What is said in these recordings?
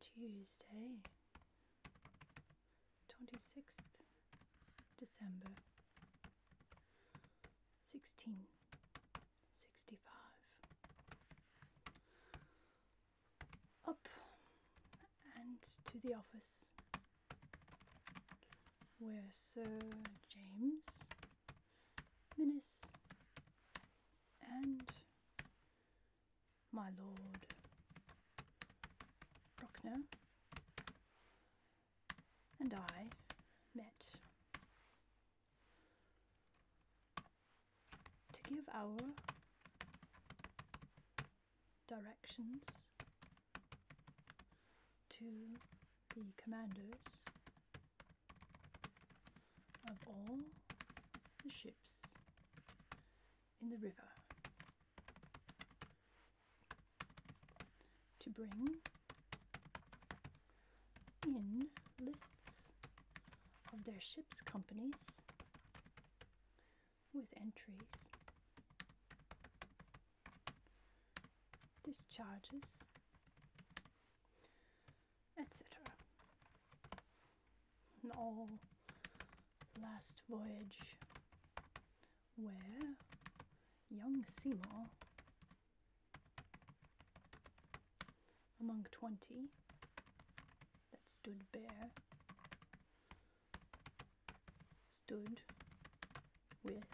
Tuesday, 26th December 1665. Up and to the office where Sir James Minnis and my Lord Bruckner and I met to give our directions to the commanders of all the ships in the river to bring in lists of their ships' companies with entries discharges, etc. And all last voyage where young Seymour, among twenty that stood bare, stood with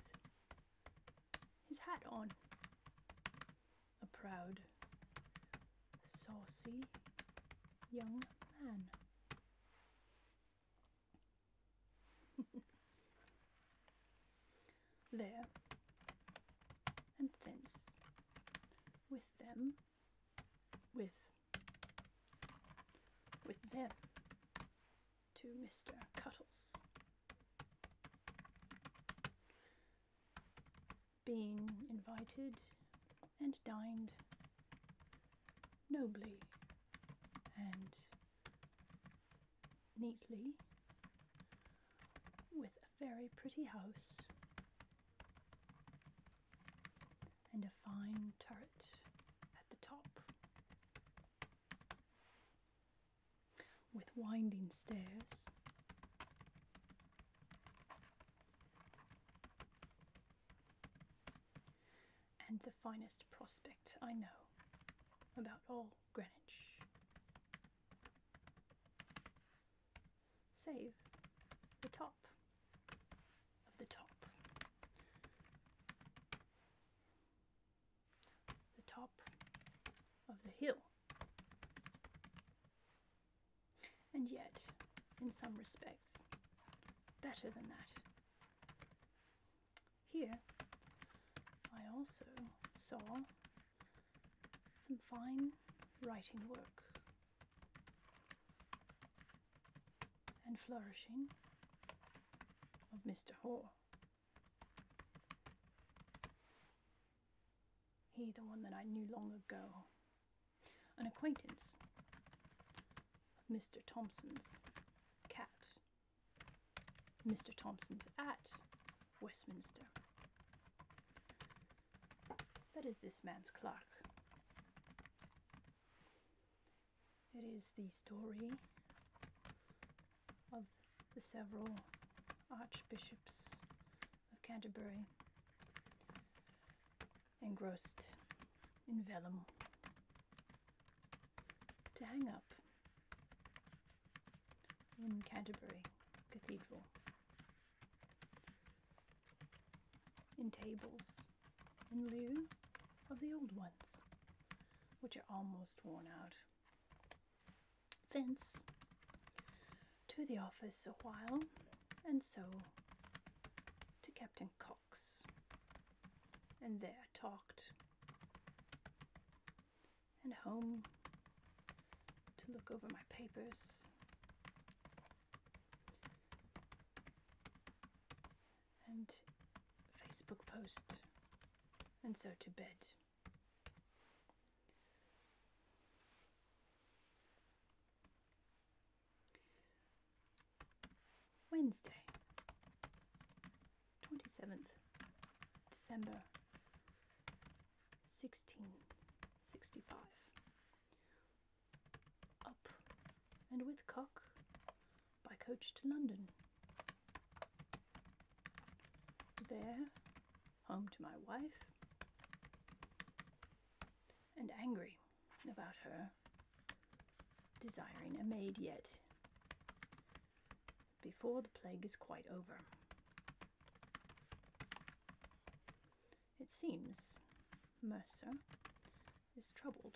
his hat on. A proud, saucy young man. there and thence, with them, with, with them, to Mr. Cuttles. Being invited and dined nobly and neatly with a very pretty house and a fine turret at the top with winding stairs. And the finest prospect I know about all Greenwich. Save the top of the top the top of the hill. And yet, in some respects, better than that. Here, I also saw some fine writing work and flourishing of Mr. Hoare. He, the one that I knew long ago, an acquaintance of Mr. Thompson's cat, Mr. Thompson's at Westminster. That is this man's clerk. It is the story of the several archbishops of Canterbury engrossed in vellum to hang up in Canterbury Cathedral in tables in lieu of the old ones, which are almost worn out. Thence to the office a while, and so to Captain Cox, and there talked, and home to look over my papers and Facebook post, and so to bed. Wednesday, 27th December 1665 up and with Cock by coach to London. There, home to my wife, and angry about her desiring a maid yet, before the plague is quite over. It seems Mercer is troubled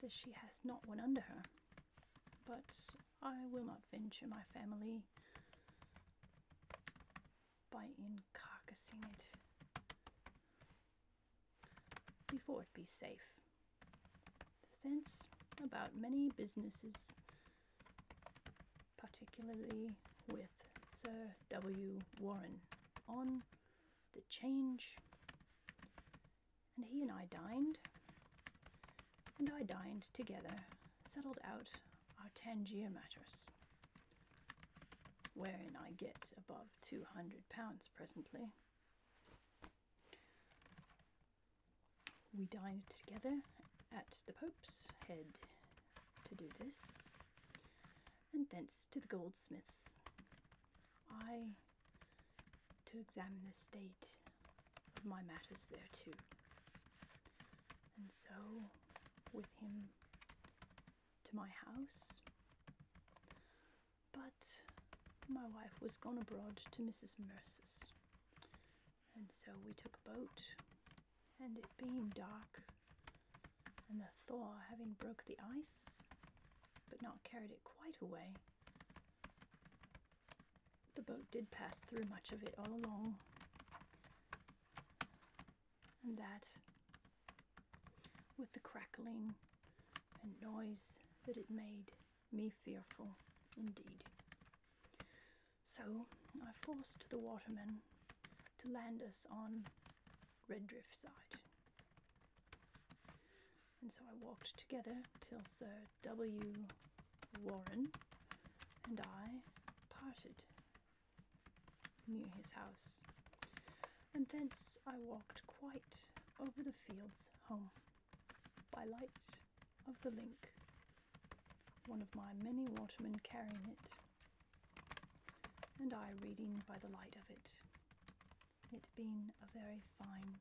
that she hath not one under her, but I will not venture my family by encarcassing it before it be safe. Thence about many businesses, particularly with Sir W. Warren on the change. And he and I dined, and I dined together, settled out our Tangier matters, wherein I get above two hundred pounds presently. We dined together at the Pope's Head to do this, and thence to the goldsmith's. I to examine the state of my matters there too, And so, with him to my house. But my wife was gone abroad to Mrs. Mercer's, and so we took a boat and it being dark and the thaw having broke the ice but not carried it quite away the boat did pass through much of it all along and that with the crackling and noise that it made me fearful indeed so i forced the watermen to land us on Redriff side. And so I walked together till Sir W. Warren and I parted near his house, and thence I walked quite over the fields home by light of the link, one of my many watermen carrying it and I reading by the light of it, it being a very fine,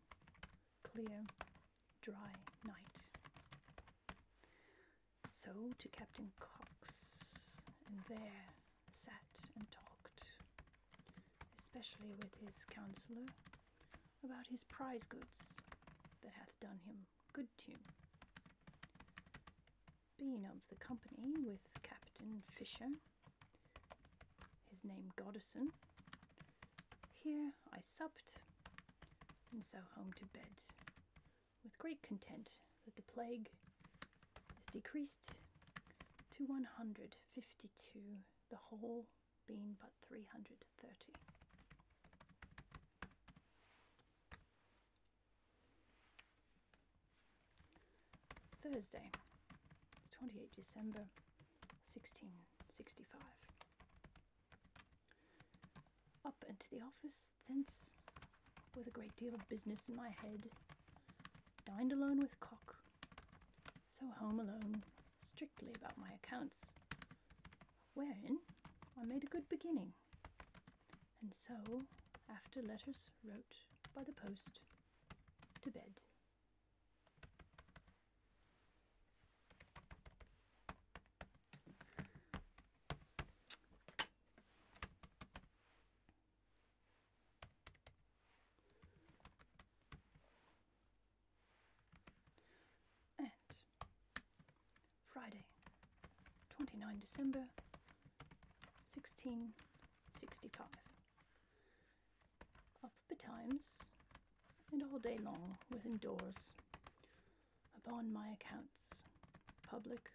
clear, dry night. So to Captain Cox, and there sat and talked, especially with his counsellor, about his prize goods that hath done him good tune. Being of the company with Captain Fisher, his name Goddison. Here I supped, and so home to bed, with great content that the plague is decreased to 152, the whole being but 330. Thursday, 28 December 1665. Up into the office, thence, with a great deal of business in my head, dined alone with Cock, so home alone, strictly about my accounts, wherein I made a good beginning, and so, after letters, wrote by the post to bed. And Friday, 29 December 1665. Up betimes and all day long within doors, upon my accounts, public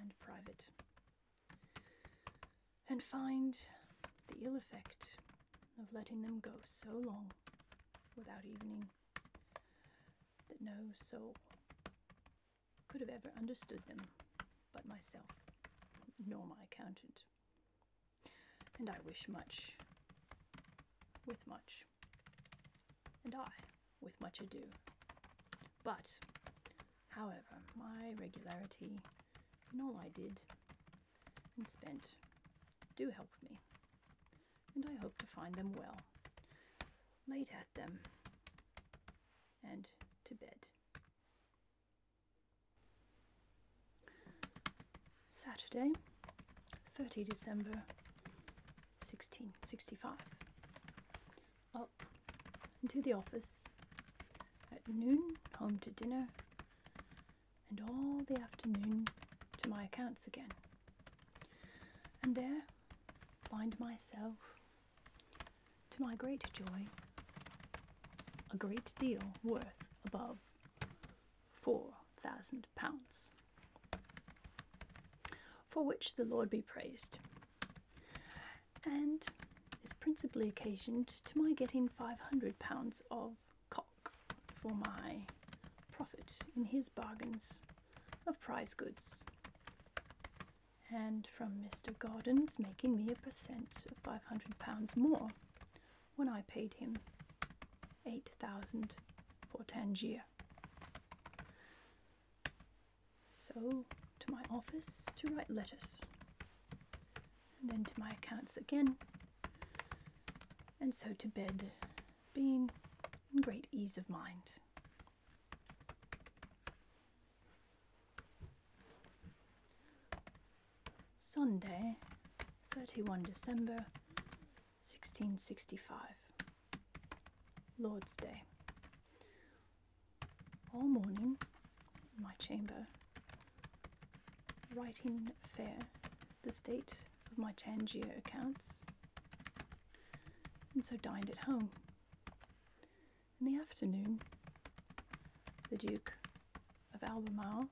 and private, and find the ill effect of letting them go so long without evening that no soul could have ever understood them but myself, nor my accountant. And I wish much with much, and I with much ado. But, however, my regularity in all I did and spent do help me and I hope to find them well. Late at them and to bed. Saturday, 30 December 1665. Up into the office at noon, home to dinner, and all the afternoon to my accounts again and there find myself, to my great joy, a great deal worth above four thousand pounds. For which the Lord be praised, and is principally occasioned to my getting five hundred pounds of cock for my profit in his bargains of prize goods. And from Mr. Gordon's making me a percent of five hundred pounds more when I paid him eight thousand for Tangier. So to my office to write letters, and then to my accounts again, and so to bed, being and great ease of mind. Sunday, 31 December 1665, Lord's Day. All morning in my chamber, writing fair the state of my Tangier accounts, and so dined at home. In the afternoon, the Duke of Albemarle,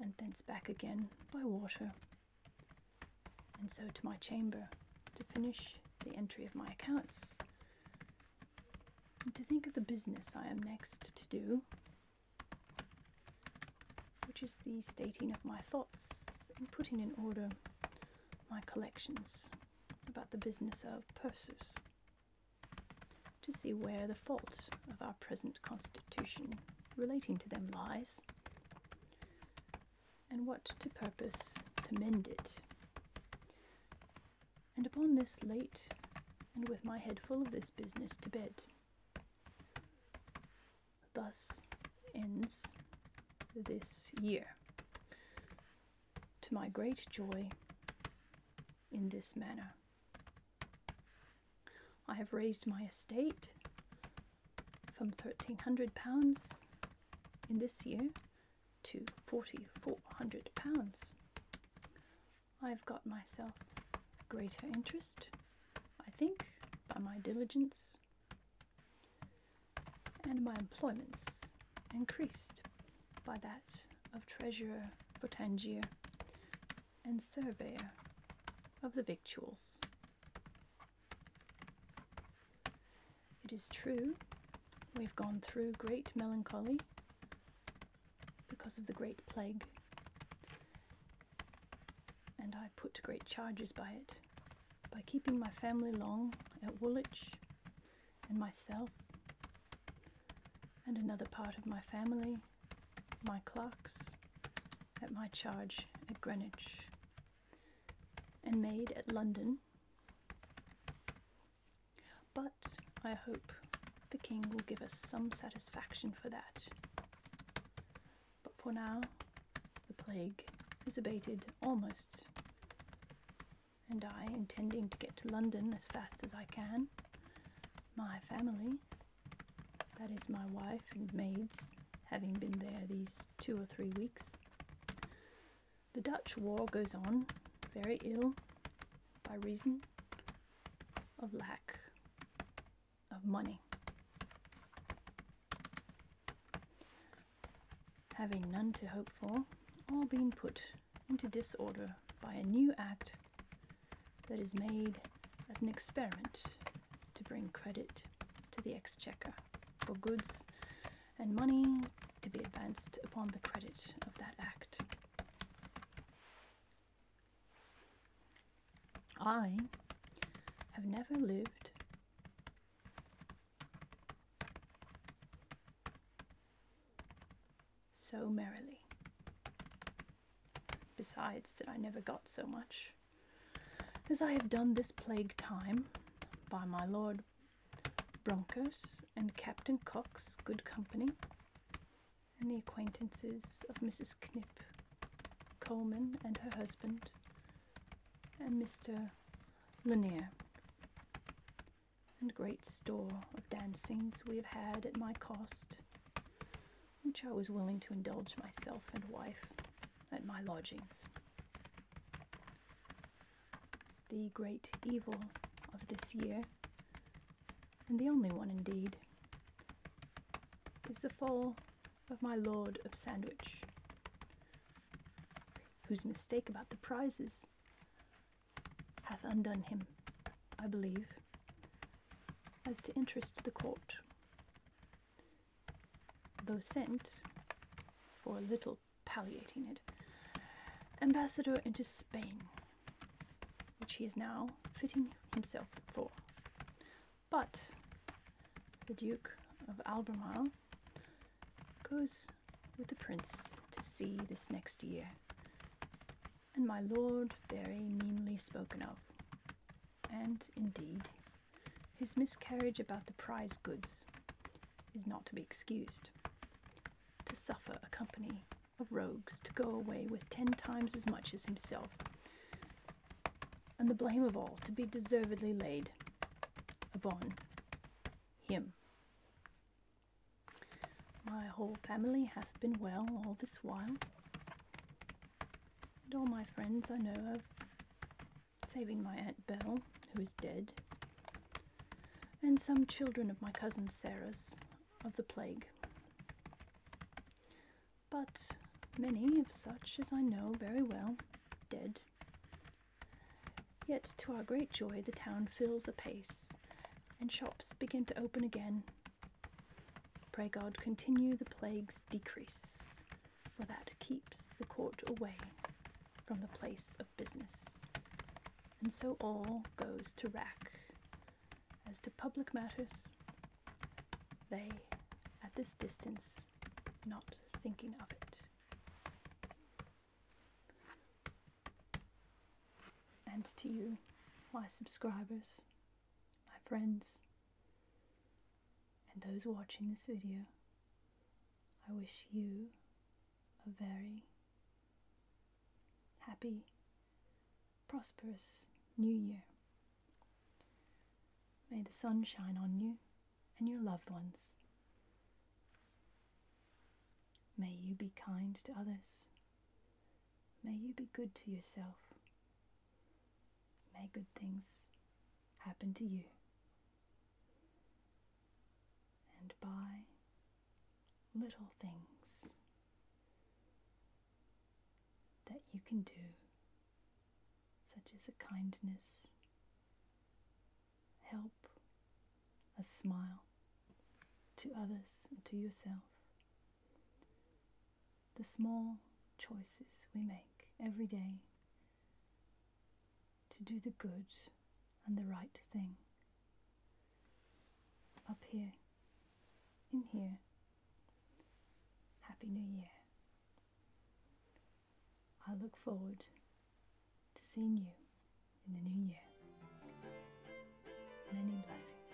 and thence back again by water, and so to my chamber to finish the entry of my accounts. And to think of the business I am next to do, which is the stating of my thoughts and putting in order my collections about the business of purses, to see where the fault of our present constitution relating to them lies and what to purpose to mend it. And upon this late, and with my head full of this business, to bed. Thus ends this year. To my great joy, in this manner. I have raised my estate from £1,300 in this year to £4,400. I've got myself greater interest I think, by my diligence and my employments increased by that of treasurer Botangier and surveyor of the victuals. It is true we've gone through great melancholy because of the great plague and I put great charges by it by keeping my family long at Woolwich and myself and another part of my family, my clerks, at my charge at Greenwich and made at London. But I hope the King will give us some satisfaction for that. But for now, the plague is abated almost. And I, intending to get to London as fast as I can, my family, that is my wife and maids, having been there these two or three weeks. The Dutch war goes on very ill by reason of lack of money. Having none to hope for, or being put into disorder by a new act that is made as an experiment to bring credit to the exchequer for goods and money to be advanced upon the credit of that act. I have never lived so merrily. Besides, that I never got so much as I have done this plague time by my lord Broncos and Captain Cox's good company, and the acquaintances of Mrs. Knipp, Coleman and her husband, and Mr. Lanier, and great store of dancings we have had at my cost, which I was willing to indulge myself and wife at my lodgings. The great evil of this year and the only one indeed, is the fall of my Lord of Sandwich, whose mistake about the prizes hath undone him, I believe, as to interest the court, though sent, for a little palliating it, ambassador into Spain which he is now fitting himself for. But the Duke of Albemarle goes with the prince to sea this next year, and my lord very meanly spoken of, and indeed his miscarriage about the prize goods is not to be excused, to suffer a company of rogues to go away with ten times as much as himself, and the blame of all to be deservedly laid upon him. My whole family hath been well all this while, and all my friends I know of, saving my Aunt Bell, who is dead, and some children of my cousin Sarah's of the plague, but many of such as I know very well, dead. Yet to our great joy the town fills apace, and shops begin to open again. Pray God continue the plague's decrease, for that keeps the court away from the place of business. And so all goes to rack, as to public matters, they, at this distance, not thinking of it. And to you, my subscribers, my friends, and those watching this video, I wish you a very happy prosperous new year. May the sun shine on you and your loved ones. May you be kind to others. May you be good to yourself. May good things happen to you. And by little things that you can do, such as a kindness, help, a smile to others and to yourself. The small choices we make every day to do the good and the right thing up here, in here. Happy New Year. I look forward to seeing you in the new year. Many blessings.